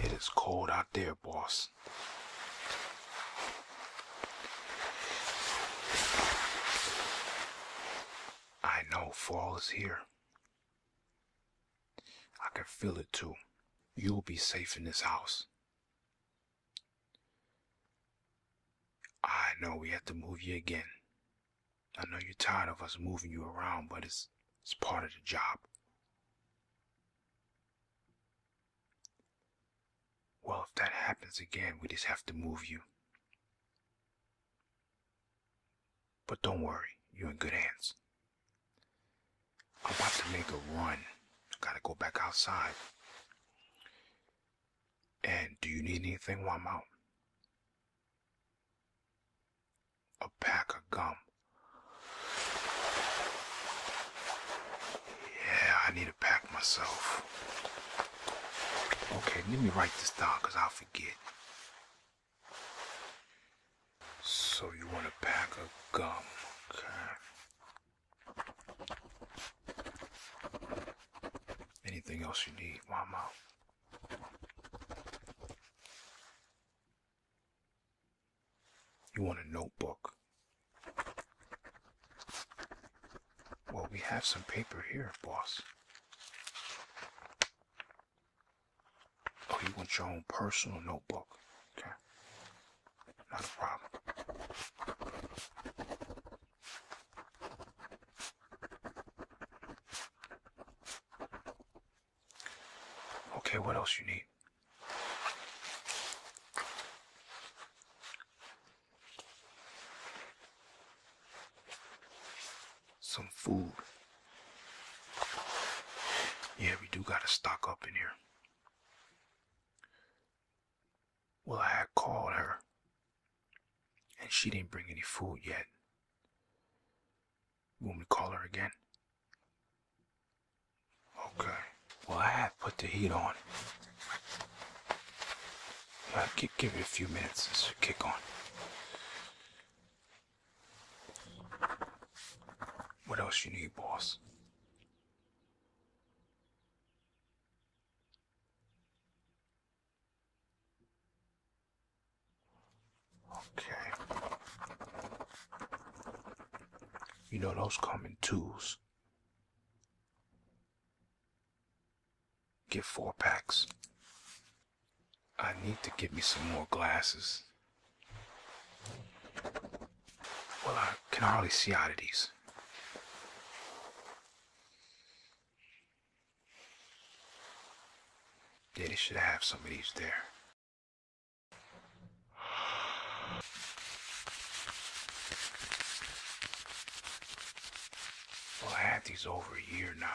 It is cold out there, boss. I know fall is here. I can feel it too. You'll be safe in this house. I know we have to move you again. I know you're tired of us moving you around, but it's it's part of the job. Well, if that happens again, we just have to move you. But don't worry, you're in good hands. I'm about to make a run. I gotta go back outside. And do you need anything while I'm out? A pack of gum. Yeah, I need a pack myself. Okay, let me write this down because I'll forget. So you want a pack of gum. Okay. Anything else you need while You want a notebook. Well, we have some paper here, boss. Oh, you want your own personal notebook. Okay. Not a problem. Okay, what else you need? Some food. Yeah, we do gotta stock up in here. Well, I had called her, and she didn't bring any food yet. You want to call her again? Okay. Well, I have put the heat on. I'll give, you a few minutes. This will kick on. What else you need, boss? Okay. You know those common tools. Get four packs. I need to get me some more glasses. Well, I can hardly see out of these. Yeah, they should have some of these there. Well, I had these over a year now.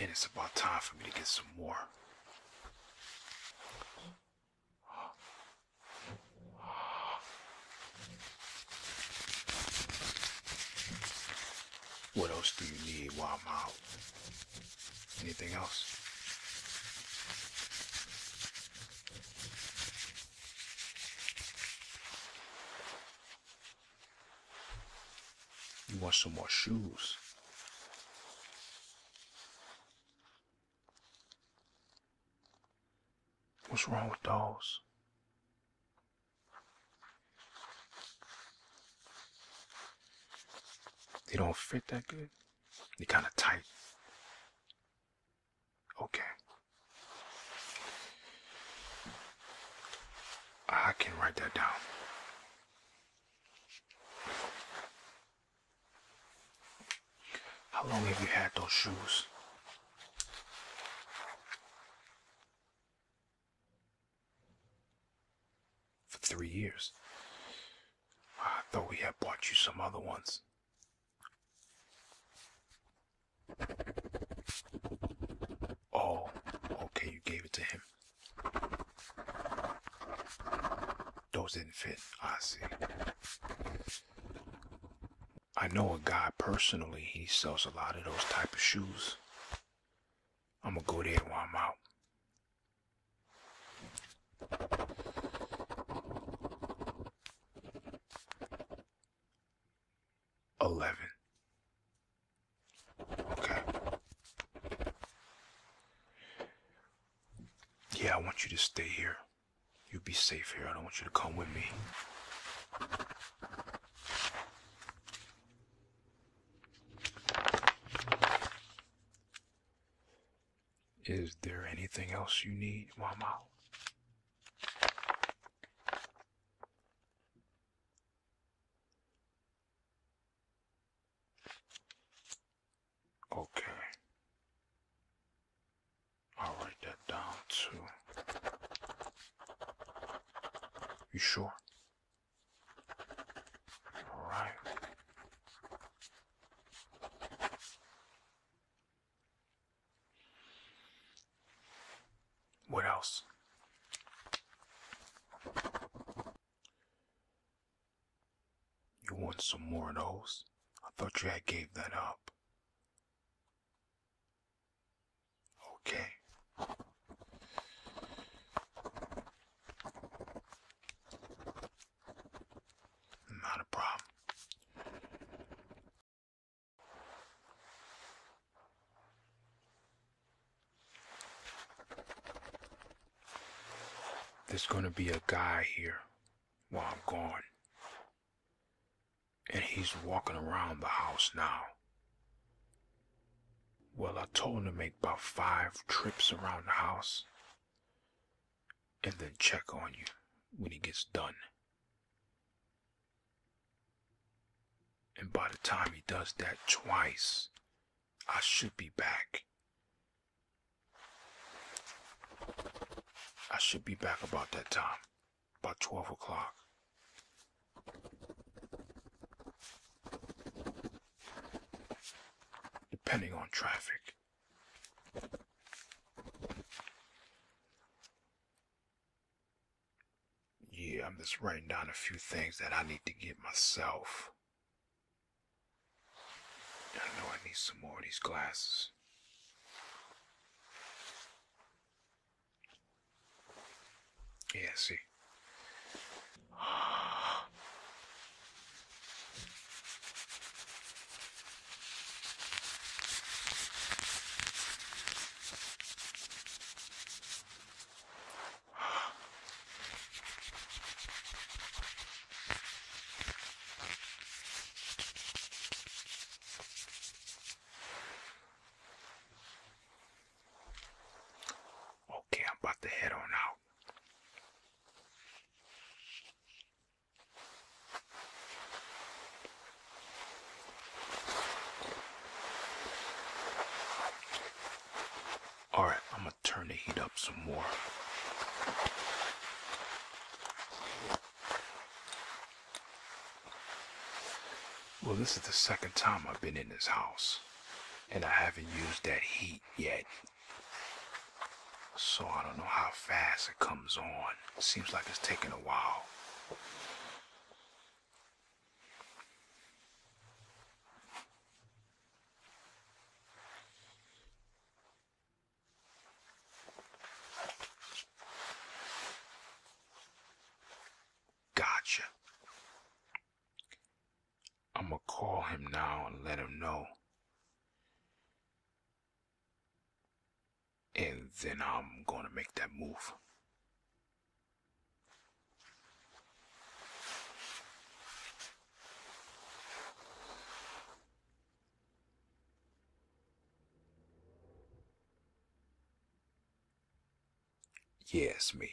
And it's about time for me to get some more. What else do you need while I'm out? Anything else? You want some more shoes? What's wrong with those? They don't fit that good. They're kind of tight. Okay. I can write that down. How long have you had those shoes? For three years. I thought we had bought you some other ones. Oh, okay, you gave it to him. Those didn't fit. I see. I know a guy personally, he sells a lot of those type of shoes. I'm gonna go there while I'm out. Eleven. Okay. Yeah, I want you to stay here. You will be safe here. I don't want you to come with me. Is there anything else you need, Mama? Okay. I'll write that down too. You sure? All right. What else? You want some more of those? I thought you had gave that up. Okay. Not a problem. There's gonna be a guy here while I'm gone. And he's walking around the house now. Well, I told him to make about five trips around the house and then check on you when he gets done. And by the time he does that twice, I should be back. I should be back about that time, about 12 o'clock depending on traffic. Yeah, I'm just writing down a few things that I need to get myself. I know I need some more of these glasses. Yeah, I see. Okay, I'm about to head on out. Alright, I'm gonna turn the heat up some more. Well, this is the second time I've been in this house, and I haven't used that heat yet. So I don't know how fast it comes on. seems like it's taking a while. Gotcha. I'm going to call him now and let him know. And then I'm going to make that move. Yes, me.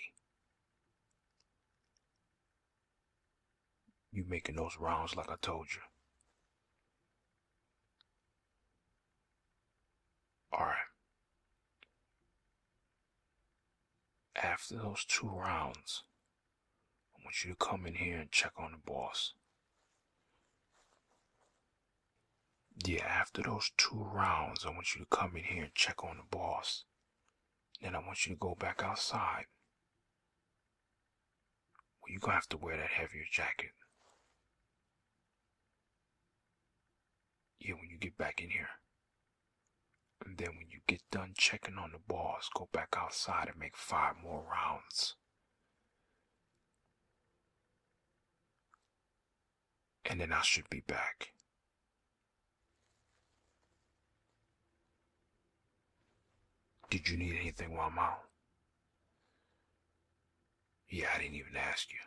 You making those rounds like I told you. Alright. After those two rounds, I want you to come in here and check on the boss. Yeah, after those two rounds, I want you to come in here and check on the boss. Then I want you to go back outside. you're going to have to wear that heavier jacket. Yeah, when you get back in here. And then when you get done checking on the boss, go back outside and make five more rounds and then I should be back. Did you need anything while I'm out? Yeah, I didn't even ask you.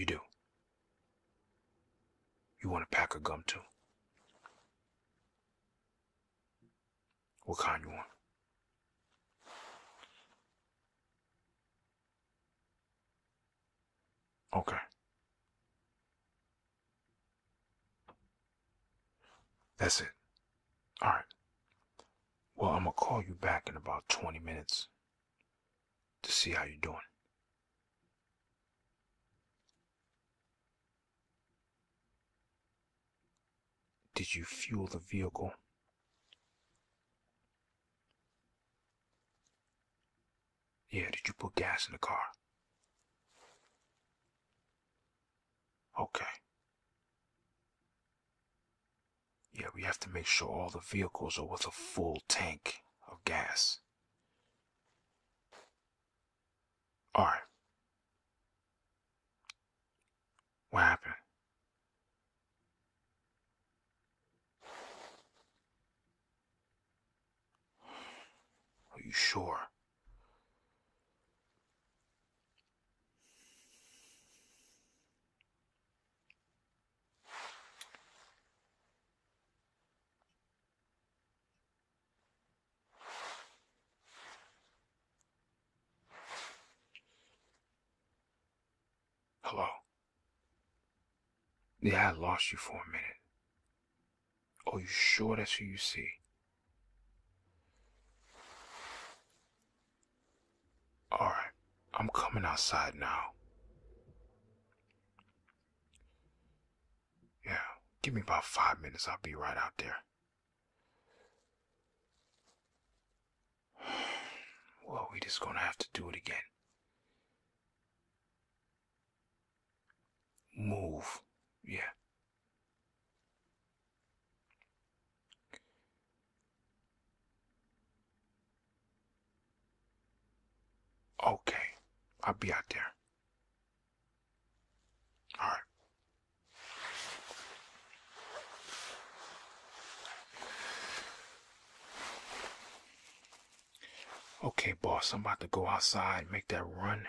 You do. You want a pack of gum too? What kind you want? Okay. That's it. All right. Well, I'm going to call you back in about 20 minutes to see how you're doing. Did you fuel the vehicle? Yeah, did you put gas in the car? Okay. Yeah, we have to make sure all the vehicles are with a full tank of gas. All right. What happened? Are you sure? Hello. Yeah, I lost you for a minute. Are you sure that's who you see? Alright, I'm coming outside now. Yeah, give me about five minutes. I'll be right out there. Well, we just gonna have to do it again. Move. Yeah. Okay, I'll be out there. All right. Okay, boss, I'm about to go outside, make that run,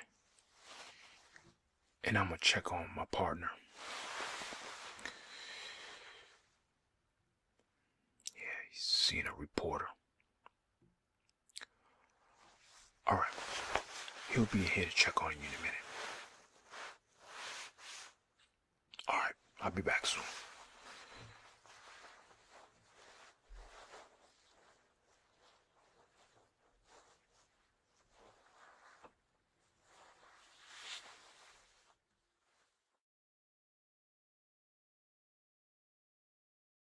and I'm gonna check on my partner. Yeah, he's seeing a reporter. All right. He'll be here to check on you in a minute. All right. I'll be back soon.